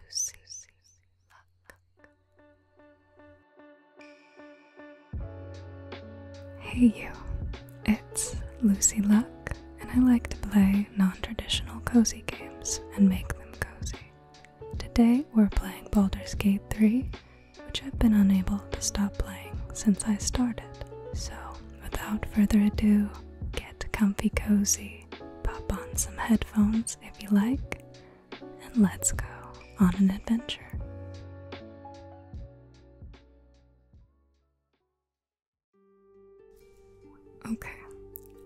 Lucy Luck. Hey you, it's Lucy Luck, and I like to play non traditional cozy games and make them cozy. Today we're playing Baldur's Gate 3, which I've been unable to stop playing since I started. So, without further ado, get comfy cozy pop on some headphones if you like, and let's go on an adventure. Okay,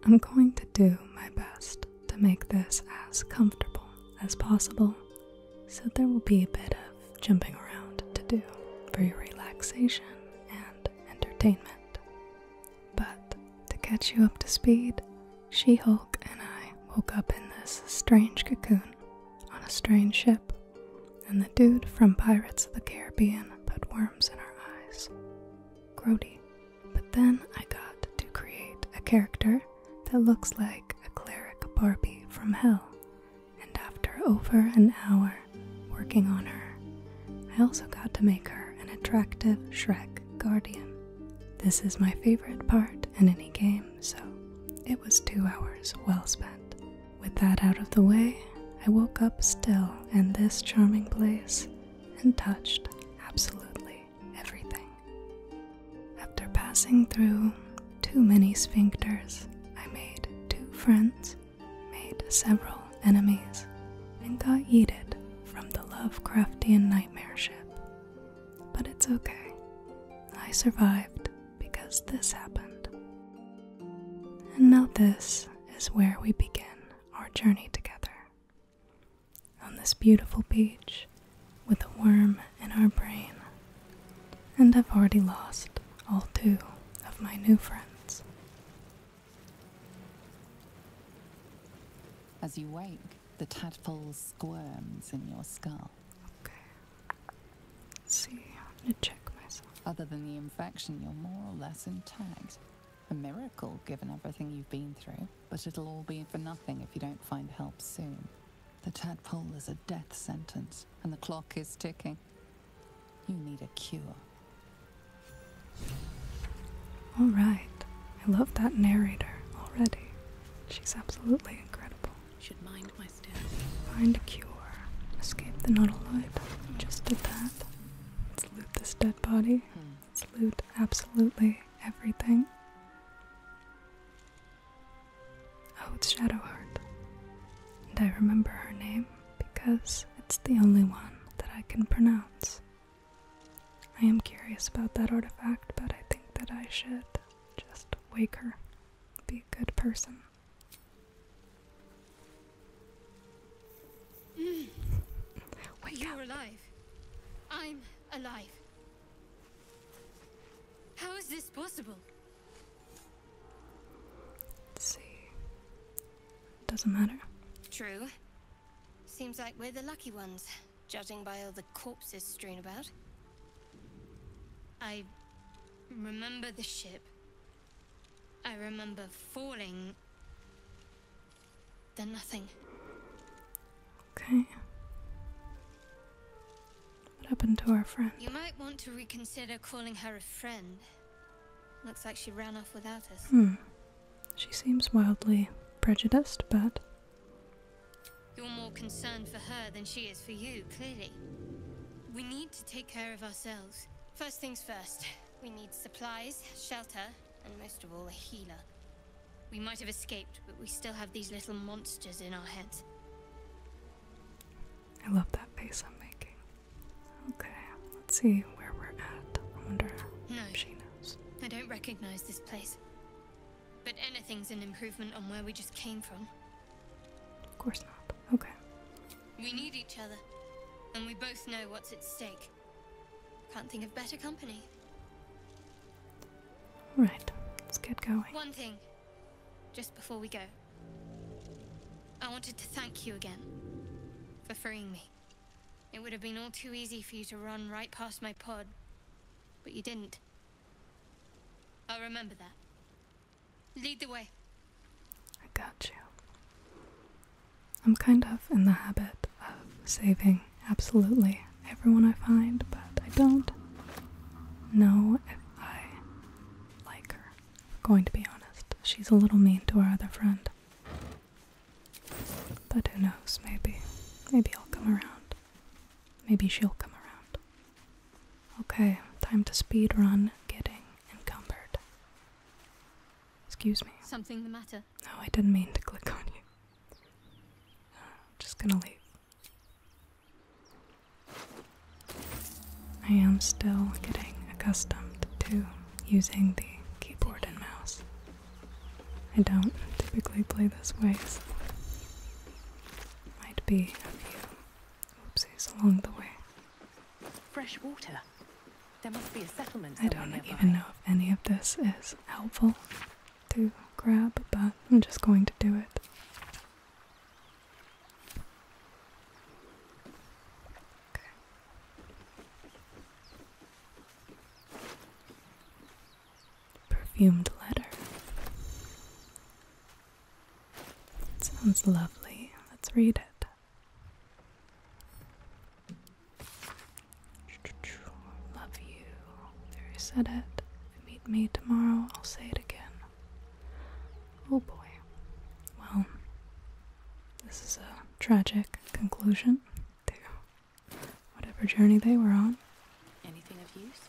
I'm going to do my best to make this as comfortable as possible, so there will be a bit of jumping around to do for your relaxation and entertainment. But to catch you up to speed, She Hulk and I woke up in this strange cocoon on a strange ship, and the dude from Pirates of the Caribbean put worms in our eyes. Grody. But then I got to create a character that looks like a cleric Barbie from hell, and after over an hour working on her, I also got to make her an attractive Shrek guardian. This is my favorite part in any game, so it was two hours well spent. With that out of the way, I woke up still in this charming place and touched absolutely everything. After passing through too many sphincters, I made two friends made several enemies, and got yeeted from the Lovecraftian nightmare ship. But it's okay. I survived because this happened. And now, this is where we begin our journey together. On this beautiful beach, with a worm in our brain. And I've already lost all two of my new friends. As you wake, the tadpole squirms in your skull. Okay. see, I'm gonna check myself. Other than the infection, you're more or less intact. A miracle given everything you've been through, but it'll all be for nothing if you don't find help soon. The tadpole is a death sentence, and the clock is ticking. You need a cure. All right. I love that narrator already. She's absolutely incredible. Should mind my step. Find a cure. Escape the nautical life. Just did that. Let's loot this dead body. Hmm. Let's loot absolutely everything. Oh, it's Shadowheart. And I remember her name because it's the only one that I can pronounce. I am curious about that artifact, but I think that I should just wake her, be a good person. Mm. Wake You're alive. I'm alive. How is this possible? see. Doesn't matter. True. Seems like we're the lucky ones, judging by all the corpses strewn about. I remember the ship. I remember falling. Then nothing. Okay. What happened to our friend? You might want to reconsider calling her a friend. Looks like she ran off without us. Hmm. She seems wildly prejudiced, but. You're more concerned for her than she is for you, clearly. We need to take care of ourselves. First things first, we need supplies, shelter, and most of all, a healer. We might have escaped, but we still have these little monsters in our heads. I love that face I'm making. Okay, let's see where we're at. I wonder no, she knows. I don't recognize this place. But anything's an improvement on where we just came from. Of course not. Okay. We need each other, and we both know what's at stake. Can't think of better company. Right, let's get going. One thing, just before we go. I wanted to thank you again for freeing me. It would have been all too easy for you to run right past my pod, but you didn't. I'll remember that. Lead the way. I got you. I'm kind of in the habit of saving absolutely everyone I find, but I don't know if I like her. I'm going to be honest, she's a little mean to our other friend. But who knows, maybe. Maybe I'll come around. Maybe she'll come around. Okay, time to speed run getting encumbered. Excuse me. Something the matter? No, I didn't mean to click on you. I'm just gonna leave. I am still getting accustomed to using the keyboard and mouse. I don't typically play this way, so might be a oopsies along the way. Fresh water. There must be a settlement. I don't even know if any of this is helpful to grab, but I'm just going to do it. Okay. Perfumed letter. It sounds lovely. Let's read it. Love you. There, I said it. meet me tomorrow, I'll say it again. Oh boy. Well, this is a tragic conclusion to whatever journey they were on. Anything of use?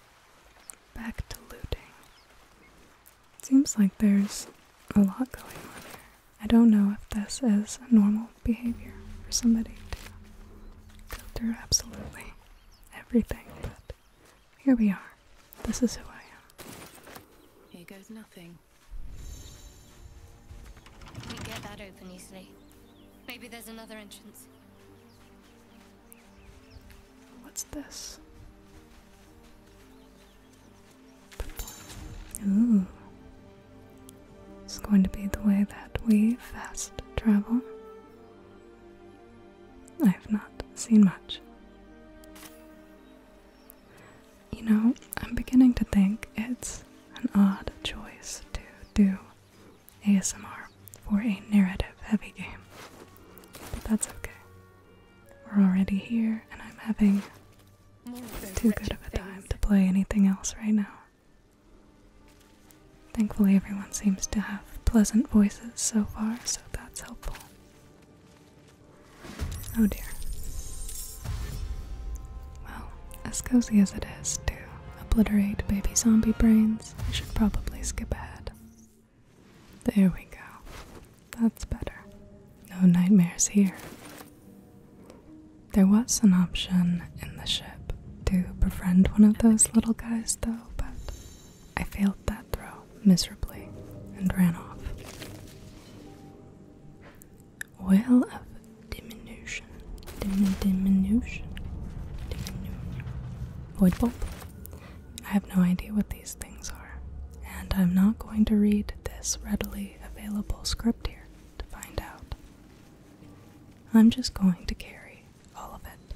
Back to looting. seems like there's a lot going on here. I don't know if this is normal behavior for somebody to go through absolutely everything, but here we are. This is who I am. Here goes nothing. We get that open easily. Maybe there's another entrance. What's this? Ooh. It's going to be the way that we fast travel. I have not seen much. You know, I'm beginning to think it's an odd choice to do ASMR for a narrative heavy game. But that's okay. We're already here, and I'm having too good of a time to play anything else right now. Thankfully, everyone seems to have pleasant voices so far, so that's helpful. Oh dear. Well, as cozy as it is to obliterate baby zombie brains, I should probably skip ahead. There we go. That's better. No nightmares here. There was an option in the ship to befriend one of those little guys, though, but I failed that throw miserably and ran off. Well of diminution. diminution. Diminution. Void bulb. I have no idea what these things are, and I'm not going to read this readily available script here to find out. I'm just going to carry all of it,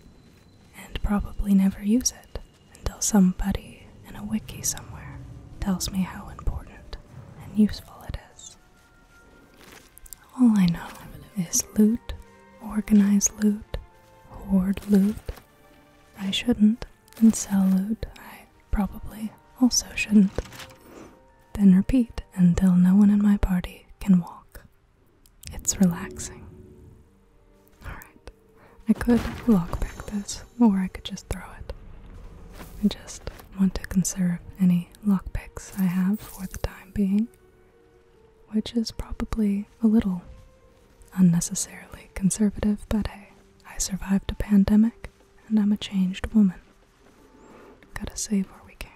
and probably never use it until somebody in a wiki somewhere tells me how important and useful it is. All I know is loot, organize loot, hoard loot. I shouldn't, and sell loot. I probably also shouldn't. Then repeat until no one in my party can walk. It's relaxing. Alright, I could lock back this, or I could just throw it. I just want to conserve any lockpicks I have for the time being, which is probably a little unnecessarily conservative, but hey, I survived a pandemic and I'm a changed woman. Gotta save where we can.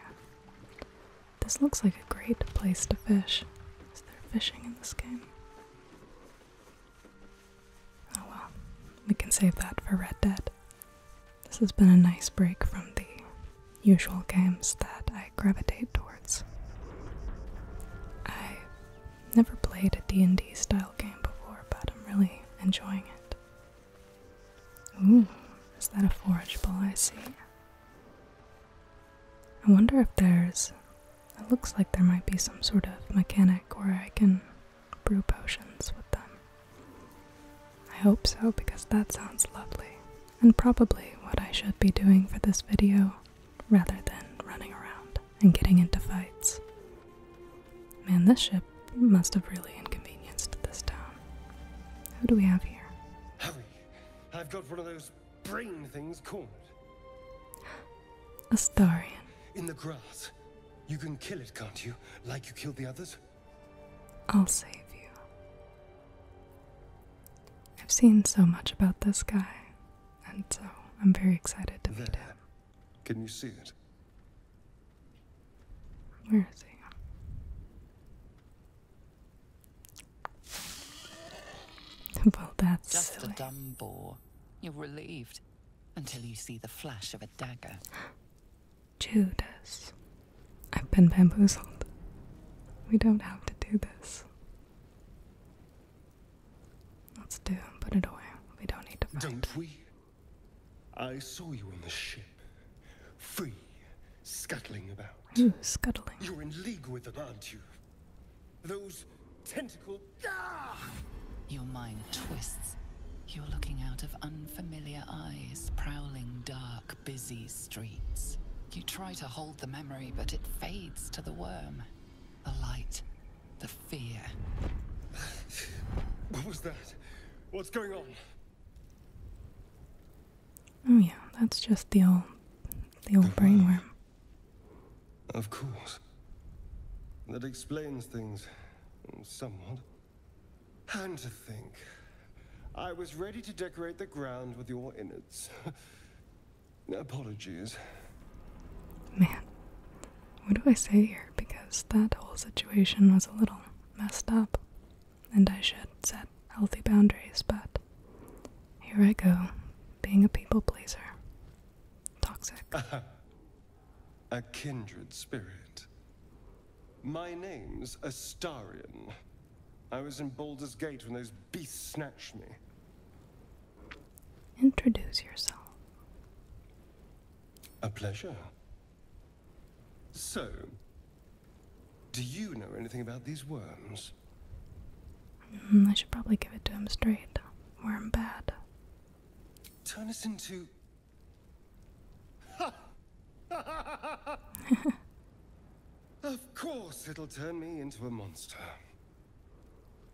This looks like a great place to fish. Is there fishing in this game? Oh well, we can save that for Red Dead. This has been a nice break from the usual games that I gravitate towards. I never played a D&D style game before, but I'm really enjoying it. Ooh, is that a forage ball I see? I wonder if there's. It looks like there might be some sort of mechanic where I can brew potions with them. I hope so because that sounds lovely and probably what I should be doing for this video rather than running around and getting into fights. Man, this ship must have really inconvenienced this town. Who do we have here? Hurry! I've got one of those brain things cornered. A In the grass. You can kill it, can't you? Like you killed the others? I'll save you. I've seen so much about this guy, and so I'm very excited to meet him. Can you see it? Where is he? well, that's just a dumb bore. You're relieved until you see the flash of a dagger. Judas, I've been bamboozled. We don't have to do this. Let's do put it away. We don't need to fight. Don't we? I saw you on the ship, free, scuttling about. scuttling. You're in league with them, aren't you? Those tentacle your mind twists. You're looking out of unfamiliar eyes, prowling dark, busy streets. You try to hold the memory, but it fades to the worm. The light, the fear. What was that? What's going on? Oh yeah, that's just the old the old brainworm. Of course. That explains things. Somewhat. And to think. I was ready to decorate the ground with your innards. Apologies. Man. What do I say here? Because that whole situation was a little messed up. And I should set healthy boundaries, but here I go, being a people pleaser. Toxic. A kindred spirit. My name's Astarian. I was in Baldur's Gate when those beasts snatched me. Introduce yourself. A pleasure. So, do you know anything about these worms? Hmm, I should probably give it to him straight. Worm bad. Turn us into. of course, it'll turn me into a monster.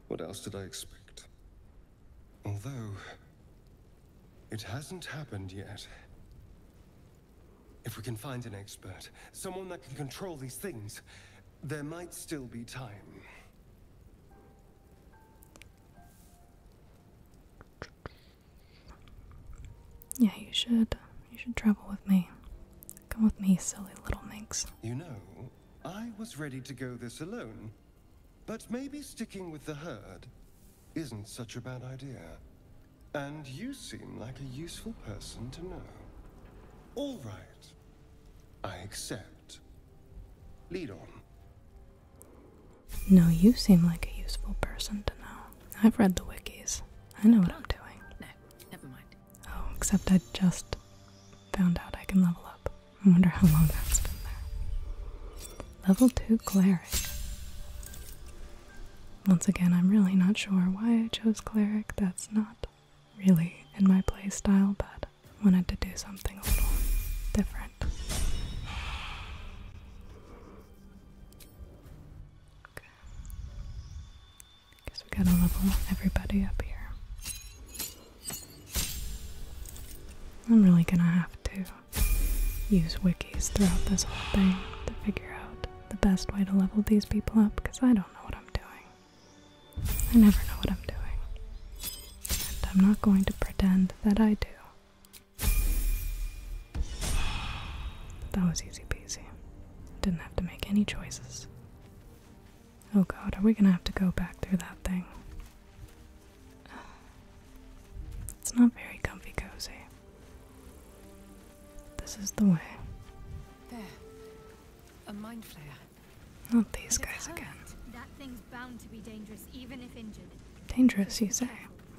What else did I expect? Although. It hasn't happened yet. If we can find an expert, someone that can control these things, there might still be time. Yeah, you should. You should travel with me. Come with me, silly little minx. You know, I was ready to go this alone, but maybe sticking with the herd isn't such a bad idea. And you seem like a useful person to know. All right. I accept. Lead on. No, you seem like a useful person to know. I've read the wikis. I know what I'm doing. No, never mind. Oh, except I just found out I can level up. I wonder how long that's been there. Level 2 cleric. Once again, I'm really not sure why I chose cleric. That's not really in my play style, but wanted to do something a little different. Okay. Guess we gotta level everybody up here. I'm really gonna have to use wikis throughout this whole thing to figure out the best way to level these people up because I don't know what I'm doing. I never know what I'm doing and I'm not going to pretend that I do. That was easy peasy. Didn't have to make any choices. Oh god, are we gonna have to go back through that thing? It's not very comfy cozy. This is the way. There. A mind flare. Not these guys again. That thing's bound to be dangerous, even if injured. Dangerous, you say?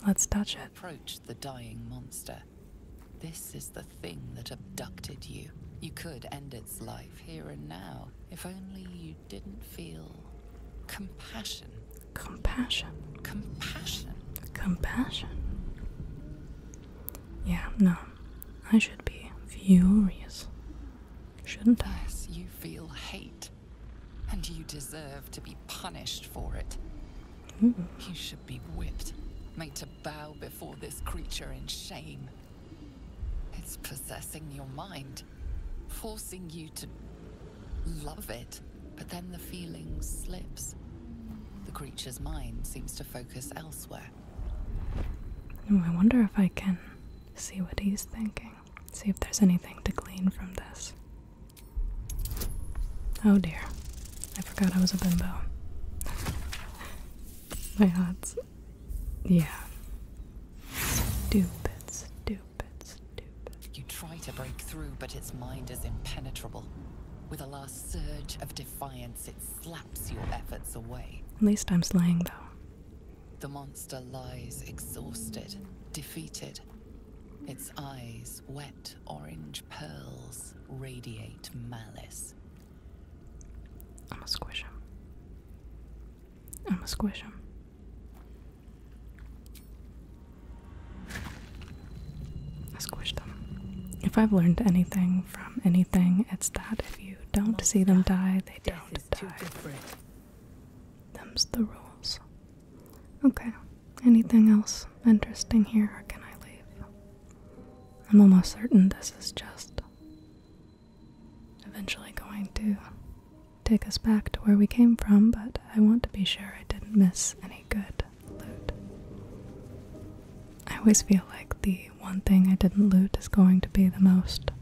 Let's touch it. Approach the dying monster. This is the thing that abducted you. You could end its life here and now if only you didn't feel compassion. Compassion. Compassion. Compassion. Yeah, no. I should be furious. Shouldn't I? you feel hate, and you deserve to be punished for it. Hmm. You should be whipped, made to bow before this creature in shame. It's possessing your mind, forcing you to love it, but then the feeling slips. The creature's mind seems to focus elsewhere. I wonder if I can see what he's thinking. See if there's anything to glean from this. Oh dear. I forgot I was a bimbo. My odds. Yeah. Stupid, stupid, stupid. You try to break through, but its mind is impenetrable. With a last surge of defiance, it slaps your efforts away. At least I'm slaying, though. The monster lies exhausted, defeated. Its eyes, wet orange pearls, radiate malice. I'm a squish him. I'm a squish him. I squish them. If I've learned anything from anything, it's that if you don't see them die, they don't die. Them's the rules. Okay. Anything else interesting here, can I leave? I'm almost certain this is just eventually going to take us back to where we came from, but I want to be sure I didn't miss any good loot. I always feel like the one thing I didn't loot is going to be the most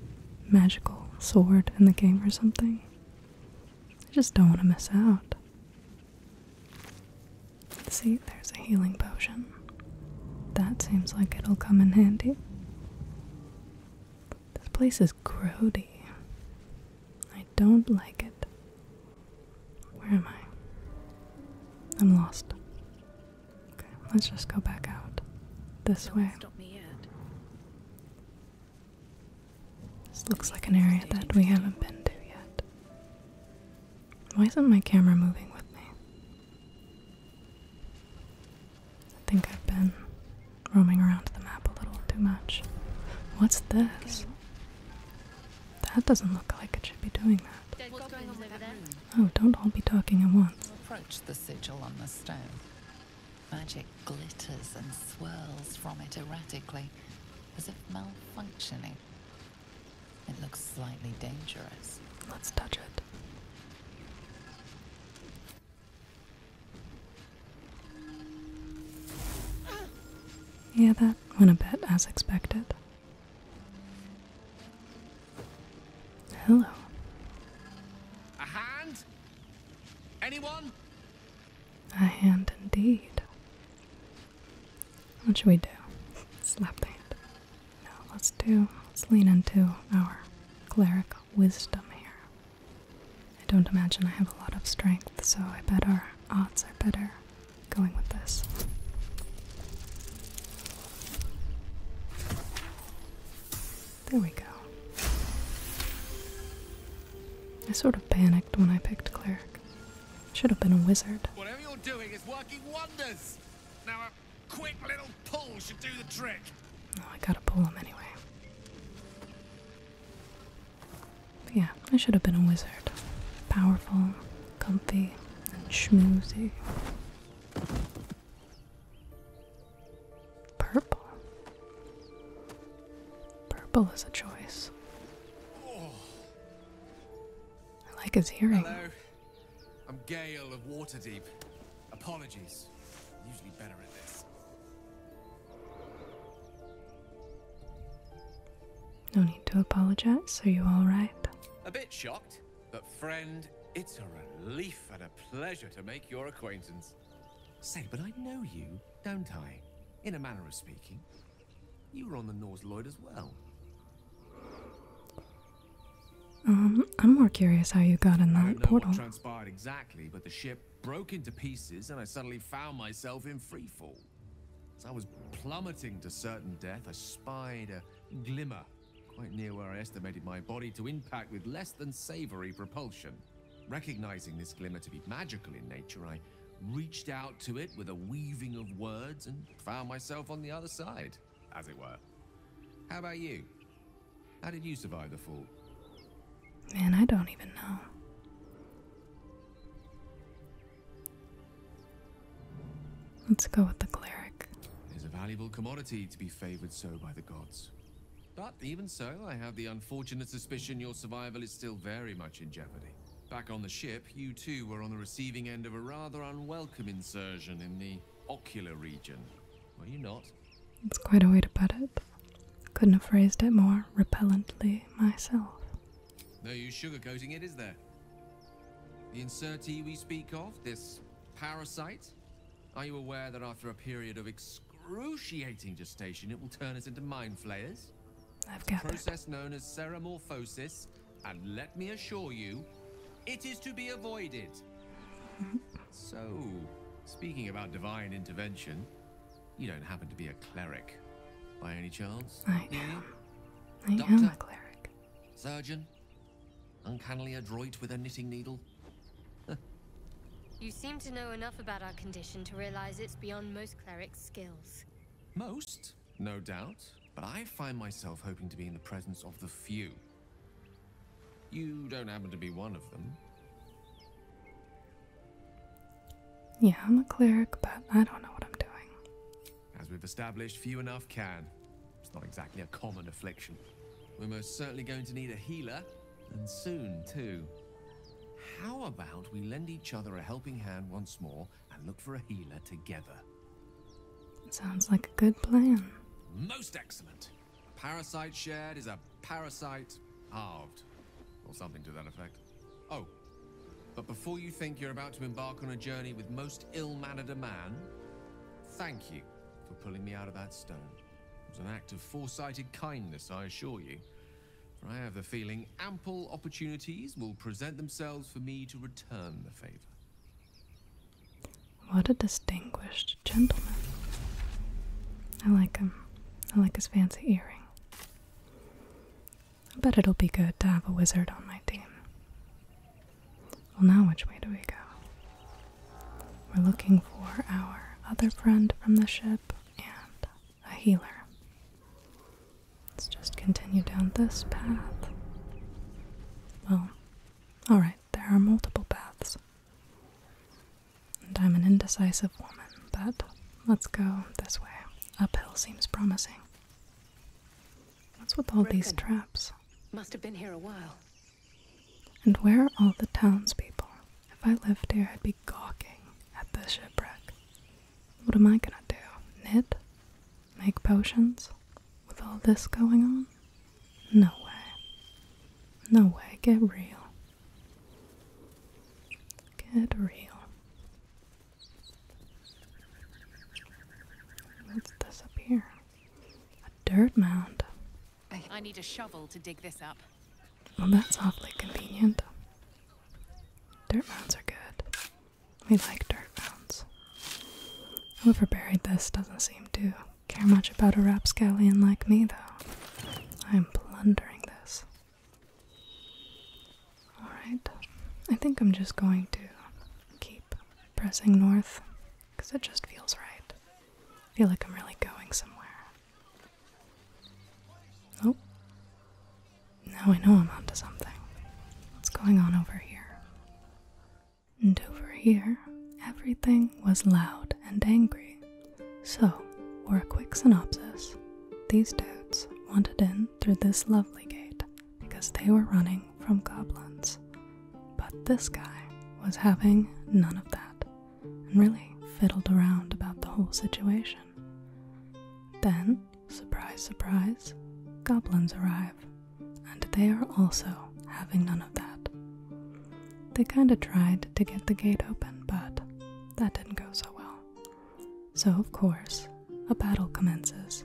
magical sword in the game or something. I just don't want to miss out. See, there's a healing potion. That seems like it'll come in handy. This place is grody. I don't like it. Where am I? I'm lost. Okay, let's just go back out this way. This looks like an area that we haven't been to yet. Why isn't my camera moving with me? I think I've been roaming around the map a little too much. What's this? That doesn't look like it should be doing that. Oh, don't all be talking at once. Magic glitters and swirls from it erratically, as if malfunctioning. It looks slightly dangerous. Let's touch it. Yeah, that went a bit as expected. Hello. A hand? Anyone? A hand indeed. What should we do? Slap the hand. No, let's do let's lean into our clerical wisdom here. I don't imagine I have a lot of strength, so I bet our odds are better going with this. There we go. I sort of panicked when I picked cleric. Should have been a wizard. Whatever you're doing is working wonders. Now a quick little pull should do the trick. Oh, I gotta pull him anyway. yeah, I should have been a wizard. Powerful, comfy, and schmoozy. Purple. Purple is a choice. I like his hearing. Hello. I'm Gale of Waterdeep. Apologies. I'm usually better at this. No need to apologize. Are you alright? A bit shocked, but friend, it's a relief at a pleasure to make your acquaintance. Say, but I know you, don't I? In a manner of speaking. You were on the Norse Lloyd as well. Um, I'm more curious how you got in that I don't portal. transpired exactly, but the ship broke into pieces and I suddenly found myself in freefall. As I was plummeting to certain death, I spied a glimmer quite near where I estimated my body to impact with less than savory propulsion. Recognizing this glimmer to be magical in nature, I reached out to it with a weaving of words and found myself on the other side, as it were. How about you? How did you survive the fall? Man, I don't even know. Let's go with the cleric. It is a valuable commodity to be favored so by the gods. But even so, I have the unfortunate suspicion your survival is still very much in jeopardy. Back on the ship, you too were on the receiving end of a rather unwelcome insertion in the ocular region, were you not? It's quite a way to put it. Couldn't have phrased it more repellently myself. No use sugarcoating it, is there? The insertee we speak of, this parasite, are you aware that after a period of excruciating gestation, it will turn us into mind flayers? I've got a process known as seromorphosis, and let me assure you, it is to be avoided. Mm-hmm. so, speaking about divine intervention, you don't happen to be a cleric, by any chance? I am. I am a cleric. Surgeon, uncannily adroit with a knitting needle. you seem to know enough about our condition to realize it's beyond most clerics' skills. Most, no doubt, but I find myself hoping to be in the presence of the few. You don't happen to be one of them. Yeah, I'm a cleric, but I don't know what I'm doing. As we've established, few enough can. It's not exactly a common affliction. We're most certainly going to need a healer, and soon too. How about we lend each other a helping hand once more and look for a healer together? Sounds like a good plan. Most excellent. A parasite shared is a parasite halved, or something to that effect. Oh, but before you think you're about to embark on a journey with most ill-mannered a man, thank you for pulling me out of that stone. It was an act of foresighted kindness, I assure you. For I have the feeling ample opportunities will present themselves for me to return the favor. What a distinguished gentleman. I like him. I like his fancy earring. I bet it'll be good to have a wizard on my team. Well, now which way do we go? We're looking for our other friend from the ship and a healer. Let's just continue down this path. Well, alright, there are multiple paths. And I'm an indecisive woman, but let's go this way. Uphill seems promising. What's with all these traps? Must have been here a while. And where are all the townspeople? If I lived here, I'd be gawking at the shipwreck. What am I gonna do? Knit? Make potions? With all this going on? No way. No way. Get real. Get real. What's this up here? A dirt mound. I need a shovel to dig this up. Well, that's awfully convenient. Dirt mounds are good. We like dirt mounds. Whoever buried this doesn't seem to care much about a rapscallion like me, though. I'm plundering this. Alright, I think I'm just going to keep pressing north because it just feels right. I feel like I'm really going somewhere. Oh. Now I know I'm onto something. What's going on over here? And over here, everything was loud and angry. So, for a quick synopsis, these toads wanted in through this lovely gate because they were running from goblins but this guy was having none of that and really fiddled around about the whole situation. Then, surprise, surprise, goblins arrive, and they are also having none of that. They kinda tried to get the gate open, but that didn't go so well. So, of course, a battle commences,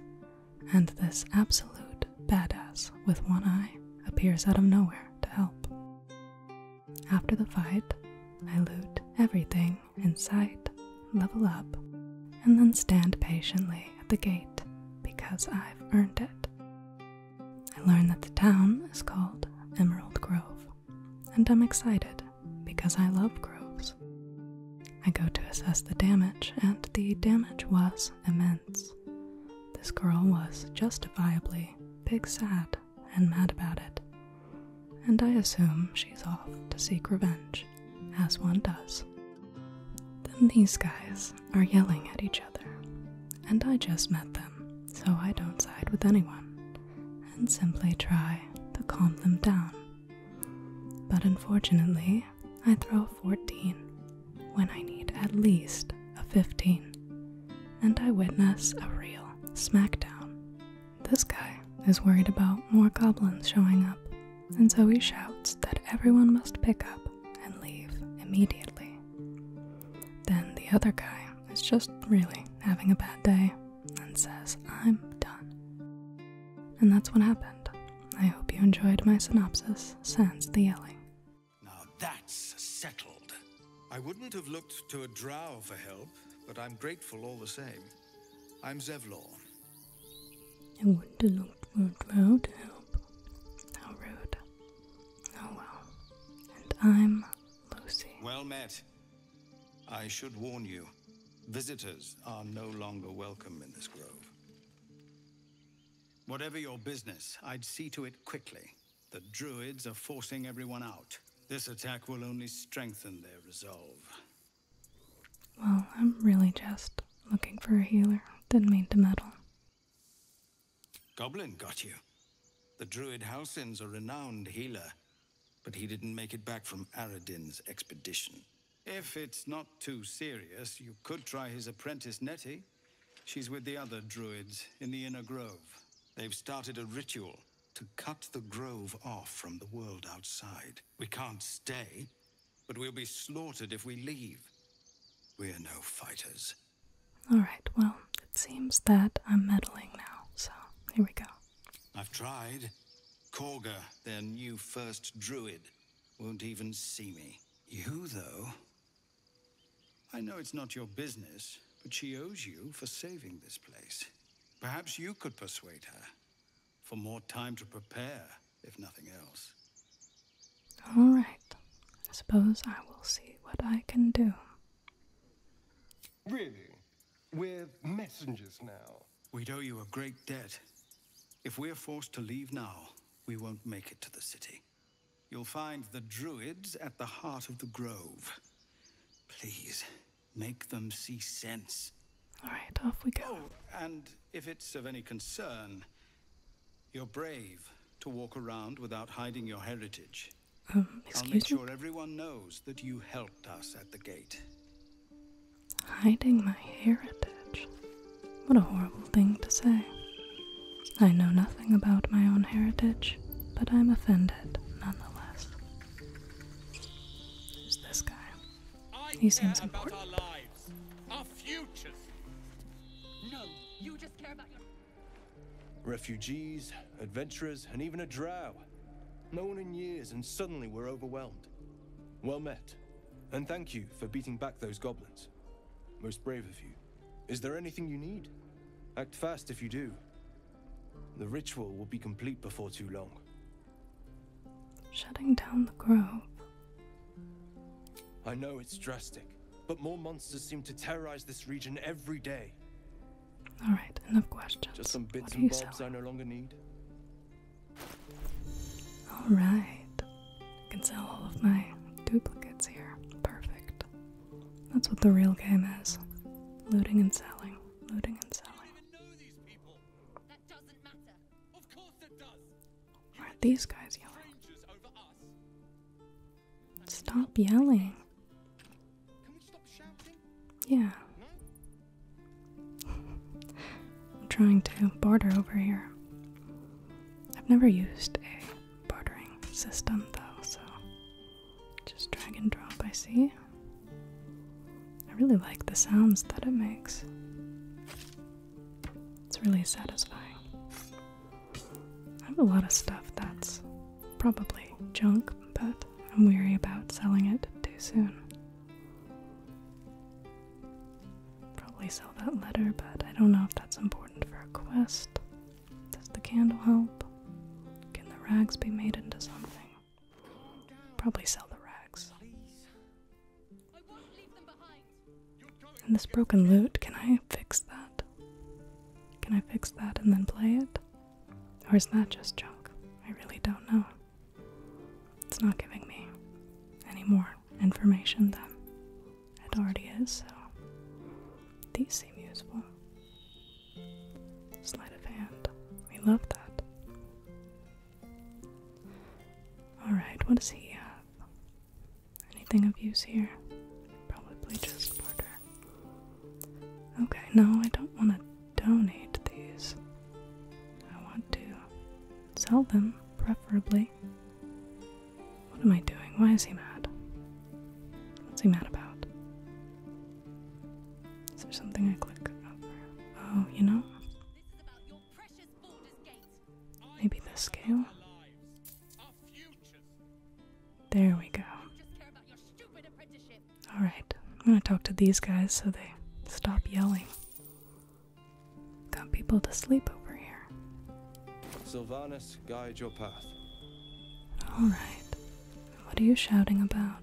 and this absolute badass with one eye appears out of nowhere to help. After the fight, I loot everything in sight, level up, and then stand patiently at the gate because I've earned it. I learn that the town is called Emerald Grove, and I'm excited because I love groves. I go to assess the damage, and the damage was immense. This girl was justifiably big sad and mad about it, and I assume she's off to seek revenge, as one does. Then these guys are yelling at each other, and I just met them, so I don't side with anyone, and simply try to calm them down. But unfortunately, I throw a 14 when I need at least a 15, and I witness a real smackdown. This guy is worried about more goblins showing up, and so he shouts that everyone must pick up and leave immediately. Then the other guy is just really having a bad day and says, I'm done. And that's what happened. I hope you enjoyed my synopsis, Sans the Yelling. Now that's settled. I wouldn't have looked to a drow for help, but I'm grateful all the same. I'm Zevlor. I wouldn't have looked to a drow to help. How rude. Oh well. And I'm Lucy. Well met. I should warn you, visitors are no longer welcome in this grove. Whatever your business, I'd see to it quickly. The druids are forcing everyone out. This attack will only strengthen their resolve. Well, I'm really just looking for a healer. Didn't mean to meddle. Goblin got you. The druid Halsin's a renowned healer, but he didn't make it back from Aradin's expedition. If it's not too serious, you could try his apprentice Nettie. She's with the other druids in the inner grove. They've started a ritual to cut the grove off from the world outside. We can't stay, but we'll be slaughtered if we leave. We're no fighters. Alright, well, it seems that I'm meddling now, so here we go. I've tried. Korga, their new first druid, won't even see me. You, though, I know it's not your business, but she owes you for saving this place. Perhaps you could persuade her for more time to prepare, if nothing else. All right. I suppose I will see what I can do. Really? We're messengers now. we owe you a great debt. If we're forced to leave now, we won't make it to the city. You'll find the druids at the heart of the grove. Please, make them see sense. All right, off we go. Oh, and if it's of any concern, you're brave to walk around without hiding your heritage. Um, I'll make sure everyone knows that you helped us at the gate. Hiding my heritage. What a horrible thing to say. I know nothing about my own heritage, but I'm offended nonetheless. Who's this guy? He seems important. refugees, adventurers, and even a drow. No one in years, and suddenly we're overwhelmed. Well met, and thank you for beating back those goblins. Most brave of you. Is there anything you need? Act fast if you do. The ritual will be complete before too long. Shutting down the grove. I know it's drastic, but more monsters seem to terrorize this region every day. Alright, enough questions. Just some bits and bobs I no longer need. Alright. I can sell all of my duplicates here. Perfect. That's what the real game is. Looting and selling. Looting and selling. Why are these guys yelling? Stop yelling. Can we stop shouting? Yeah. I'm trying to barter over here. I've never used a bartering system though, so just drag and drop, I see. I really like the sounds that it makes. It's really satisfying. I have a lot of stuff that's probably junk, but I'm wary about selling it too soon. Probably sell that letter, but I don't know if that's important for a quest. Does the candle help? Can the rags be made into something? Probably sell the rags. And this broken loot can I fix that? Can I fix that and then play it? Or is that just junk? I really don't know. It's not giving me any more information than. It already is, so these seem useful. Sleight of hand. We love that. Alright, what does he have? Anything of use here? Probably just barter. Okay, no, I don't want to donate these. I want to sell them, preferably. What am I doing? Why is he mad? What's he mad about? Is there something I click over? Oh, you know? Maybe the scale? There we go. Alright, I'm gonna talk to these guys so they stop yelling. Got people to sleep over here. Sylvanus, guide your path. Alright. What are you shouting about?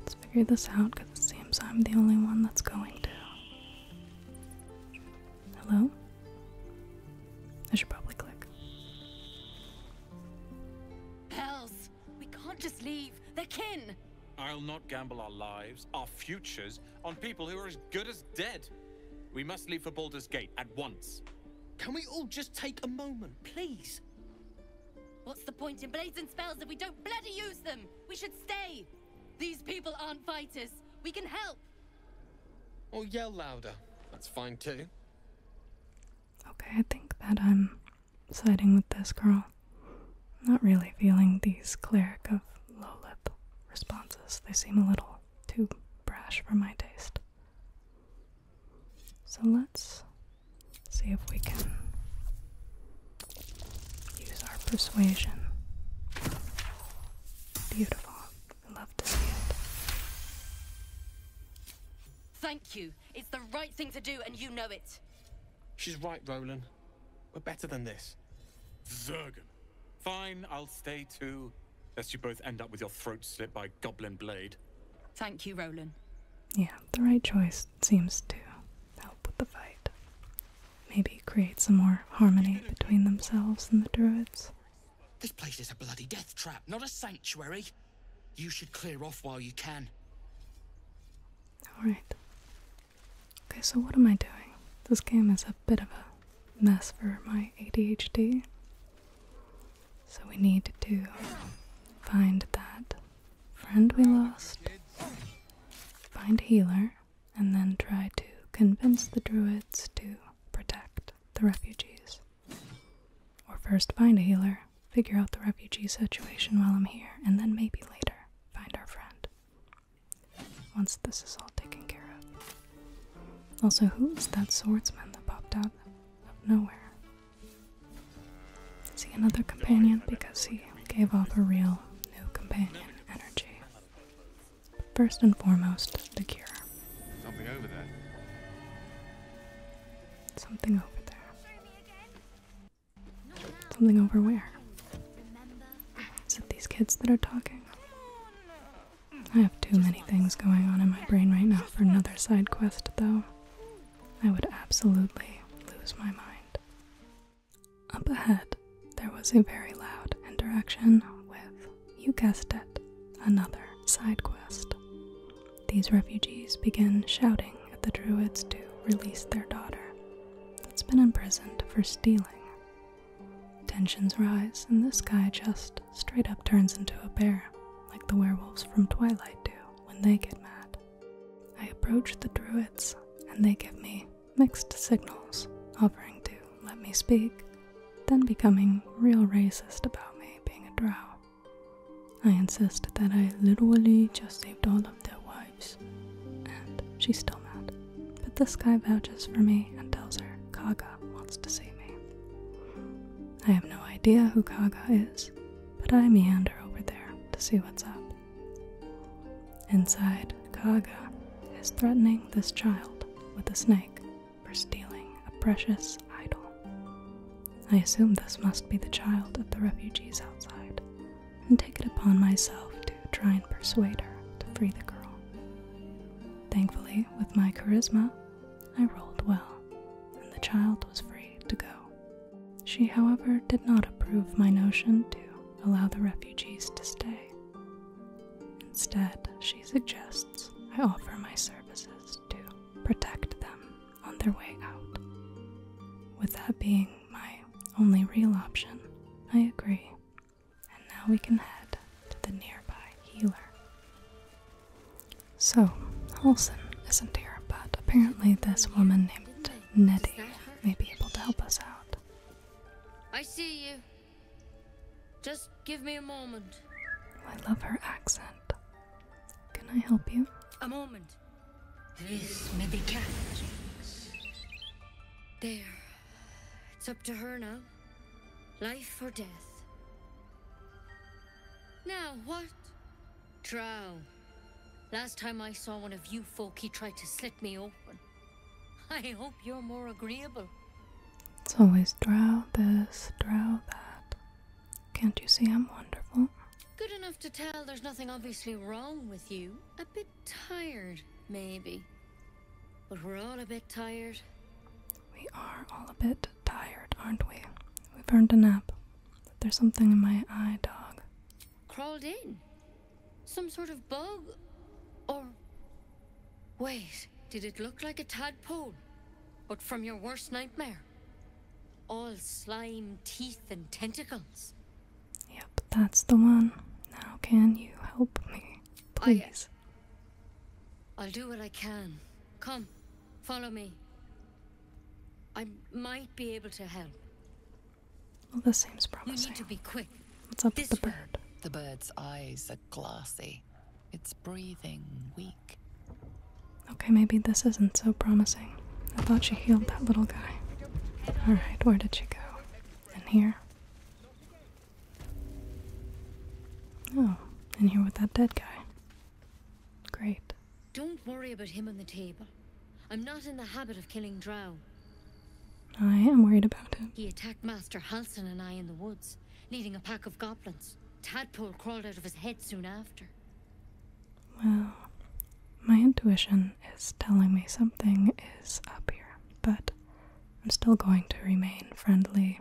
Let's figure this out because it seems I'm the only one that's going to. Hello? I should probably click. Hells! We can't just leave. They're kin! I'll not gamble our lives, our futures, on people who are as good as dead. We must leave for Baldur's Gate at once. Can we all just take a moment, please? What's the point in blades and spells if we don't bloody use them? We should stay. These people aren't fighters. We can help. Or oh, yell louder. That's fine too. Okay, I think that I'm siding with this girl. I'm not really feeling these cleric of Lolith responses. They seem a little too brash for my taste. So let's see if we can use our persuasion. Beautiful. I love to see it. Thank you. It's the right thing to do, and you know it. She's right, Roland. We're better than this. Zergen, Fine, I'll stay too. Lest you both end up with your throat slit by Goblin Blade. Thank you, Roland. Yeah, the right choice seems to help with the fight. Maybe create some more harmony between themselves and the druids. This place is a bloody death trap, not a sanctuary. You should clear off while you can. Alright. Okay, so what am I doing? This game is a bit of a mess for my ADHD. So we need to find that friend we lost, find healer, and then try to convince the druids to protect the refugees. Or first find healer, figure out the refugee situation while I'm here, and then maybe later find our friend once this is all taken care of. Also, who is that swordsman that popped out of nowhere? Is he another companion? Because he gave off a real new companion energy. first and foremost, the cure. Something over there. Something over there. Something over where? Is it these kids that are talking? I have too many things going on in my brain right now for another side quest, though. I would absolutely lose my mind. Up ahead, there was a very loud interaction with, you guessed it, another side quest. These refugees begin shouting at the druids to release their daughter. that has been imprisoned for stealing Tensions rise, and this guy just straight up turns into a bear, like the werewolves from Twilight do when they get mad. I approach the druids, and they give me mixed signals, offering to let me speak, then becoming real racist about me being a drow. I insist that I literally just saved all of their lives. And she's still mad. But this guy vouches for me and tells her Kaga wants to see me. I have no idea who Kaga is, but I meander over there to see what's up. Inside, Kaga is threatening this child with a snake for stealing a precious idol. I assume this must be the child of the refugees outside, and take it upon myself to try and persuade her to free the girl. Thankfully, with my charisma, I rolled well, and the child was free to go. She, however, did not approve my notion to allow the refugees to stay. Instead, she suggests I offer my services to protect them on their way out. With that being my only real option, I agree and now we can head to the nearby healer. So, Olsen isn't here, but apparently this woman named Nettie may be able to help us out. I see you. Just give me a moment. Oh, I love her accent. Can I help you? A moment. This medication. There. It's up to her now. Life or death. Now what? Drow. Last time I saw one of you folk, he tried to slit me open. I hope you're more agreeable. It's always drow this, drow that. Can't you see I'm wonderful? Good enough to tell there's nothing obviously wrong with you. A bit tired, maybe. But we're all a bit tired. We are all a bit tired, aren't we? We've earned a nap. there's something in my eye, dog. Crawled in? Some sort of bug? Or. Wait, did it look like a tadpole? But from your worst nightmare? All slime, teeth, and tentacles. Yep, that's the one. Now, can you help me, ah, please? I, will do what I can. Come, follow me. I might be able to help. Well, this seems promising. You need to be quick. What's up with the bird? The bird's eyes are glassy. It's breathing weak. Okay, maybe this isn't so promising. I thought she healed that little guy. Alright, where did she go? In here? Oh, in here with that dead guy. Great. Don't worry about him on the table. I'm not in the habit of killing drow. I am worried about him. He attacked Master Halson and I in the woods, leading a pack of goblins. Tadpole crawled out of his head soon after. Well, my intuition is telling me something is up here, but I'm still going to remain friendly.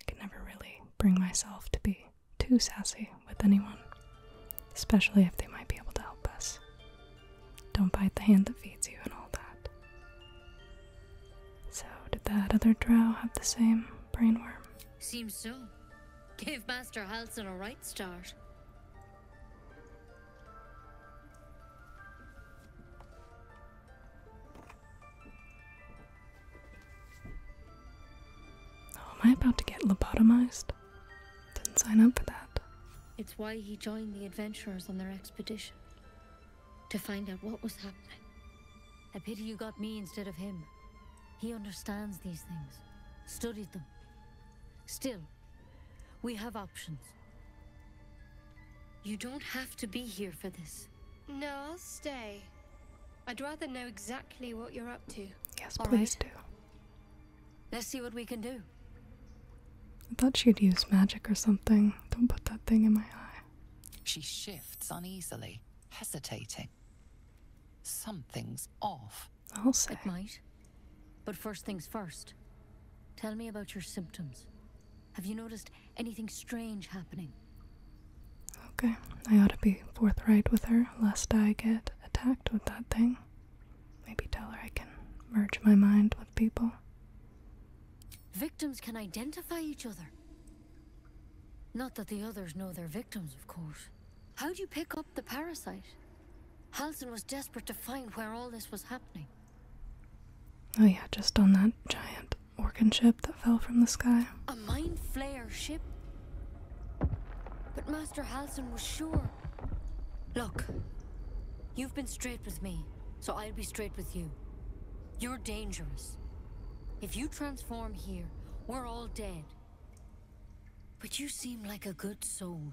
I can never really bring myself to be too sassy with anyone, especially if they might be able to help us. Don't bite the hand that feeds you and all that. So, did that other drow have the same brainworm? Seems so. Gave Master Halson a right start am I about to get lobotomized? Didn't sign up for that. It's why he joined the adventurers on their expedition. To find out what was happening. A pity you got me instead of him. He understands these things, studied them. Still, we have options. You don't have to be here for this. No, I'll stay. I'd rather know exactly what you're up to. Yes, please do. Let's see what we can do. I thought she'd use magic or something. Don't put that thing in my eye. She shifts uneasily, hesitating. Something's off. I'll say. It might but first things first. Tell me about your symptoms. Have you noticed anything strange happening? Okay, I ought to be forthright with her lest I get attacked with that thing. Maybe tell her I can merge my mind with people. Victims can identify each other. Not that the others know they're victims, of course. How'd you pick up the parasite? Halson was desperate to find where all this was happening. Oh, yeah, just on that giant organ ship that fell from the sky. A mind flayer ship? But Master Halson was sure. Look, you've been straight with me, so I'll be straight with you. You're dangerous. If you transform here, we're all dead. But you seem like a good soul.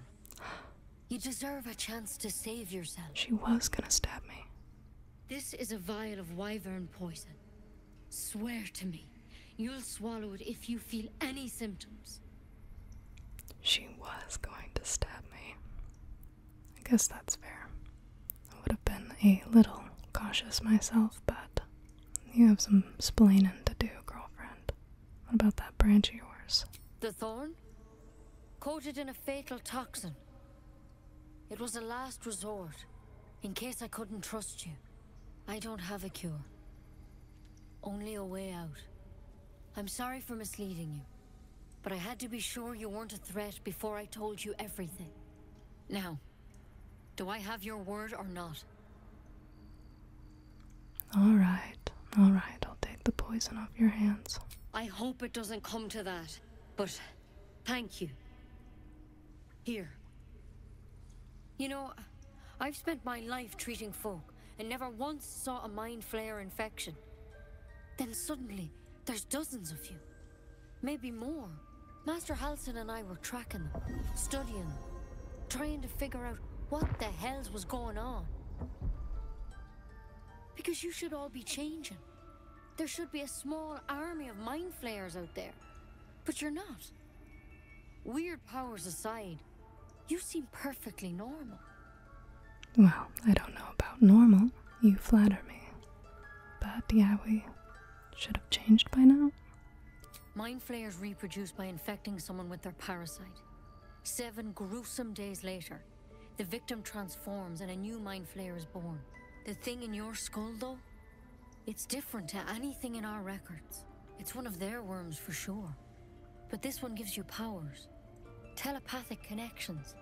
You deserve a chance to save yourself. She was gonna stab me. This is a vial of wyvern poison. Swear to me, you'll swallow it if you feel any symptoms. She was going to stab me. I guess that's fair. I would have been a little cautious myself, but you have some splaining to do, girlfriend. What about that branch of yours? The thorn? Coated in a fatal toxin. It was a last resort, in case I couldn't trust you. I don't have a cure. Only a way out. I'm sorry for misleading you, but I had to be sure you weren't a threat before I told you everything. Now, do I have your word or not? Alright, alright, I'll take the poison off your hands. I hope it doesn't come to that, but thank you. Here. You know, I've spent my life treating folk and never once saw a mind flare infection. Then suddenly, there's dozens of you. Maybe more. Master Halson and I were tracking them, studying trying to figure out what the hells was going on. Because you should all be changing. There should be a small army of mind flayers out there. But you're not. Weird powers aside, you seem perfectly normal. Well, I don't know about normal. You flatter me. But yeah, we should have changed by now. Mind flayers reproduce by infecting someone with their parasite. Seven gruesome days later, the victim transforms and a new mind flare is born. The thing in your skull, though, it's different to anything in our records. It's one of their worms for sure. But this one gives you powers, telepathic connections,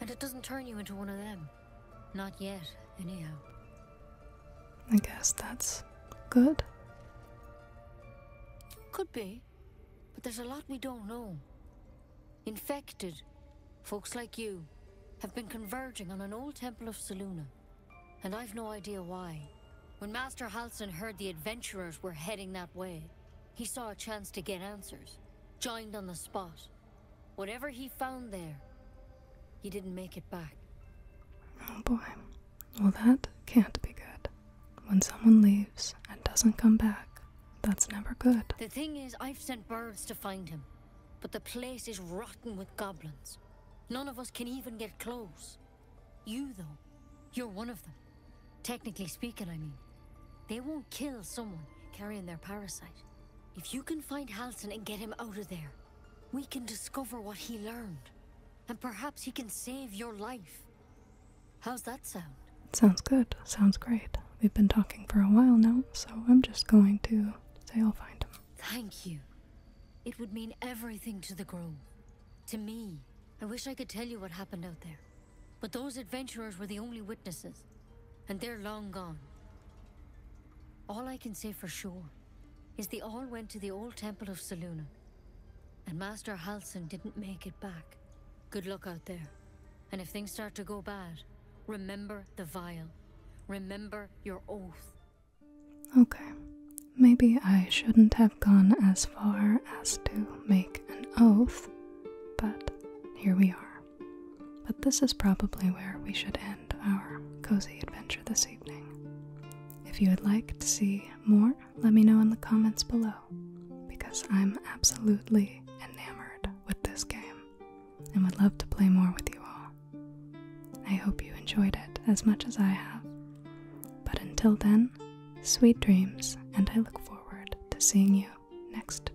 and it doesn't turn you into one of them. Not yet, anyhow. I guess that's good. Could be but there's a lot we don't know. Infected, folks like you, have been converging on an old temple of Saluna, and I've no idea why. When Master Halson heard the adventurers were heading that way, he saw a chance to get answers, joined on the spot. Whatever he found there, he didn't make it back. Oh boy. Well, that can't be good. When someone leaves and doesn't come back, that's never good. The thing is, I've sent birds to find him, but the place is rotten with goblins. None of us can even get close. You, though, you're one of them. Technically speaking, I mean. They won't kill someone carrying their parasite. If you can find Halston and get him out of there, we can discover what he learned. And perhaps he can save your life. How's that sound? Sounds good. Sounds great. We've been talking for a while now, so I'm just going to say I'll find him. Thank you. It would mean everything to the Grove. To me, I wish I could tell you what happened out there. But those adventurers were the only witnesses, and they're long gone. All I can say for sure is they all went to the old temple of Saluna and Master Halson didn't make it back. Good luck out there. And if things start to go bad, remember the vial. Remember your oath. Okay. Maybe I shouldn't have gone as far as to make an oath, but here we are. But this is probably where we should end our cozy adventure this evening. If you would like to see more let me know in the comments below because I'm absolutely enamored with this game and would love to play more with you all. I hope you enjoyed it as much as I have. But until then, sweet dreams, and I look forward to seeing you next time.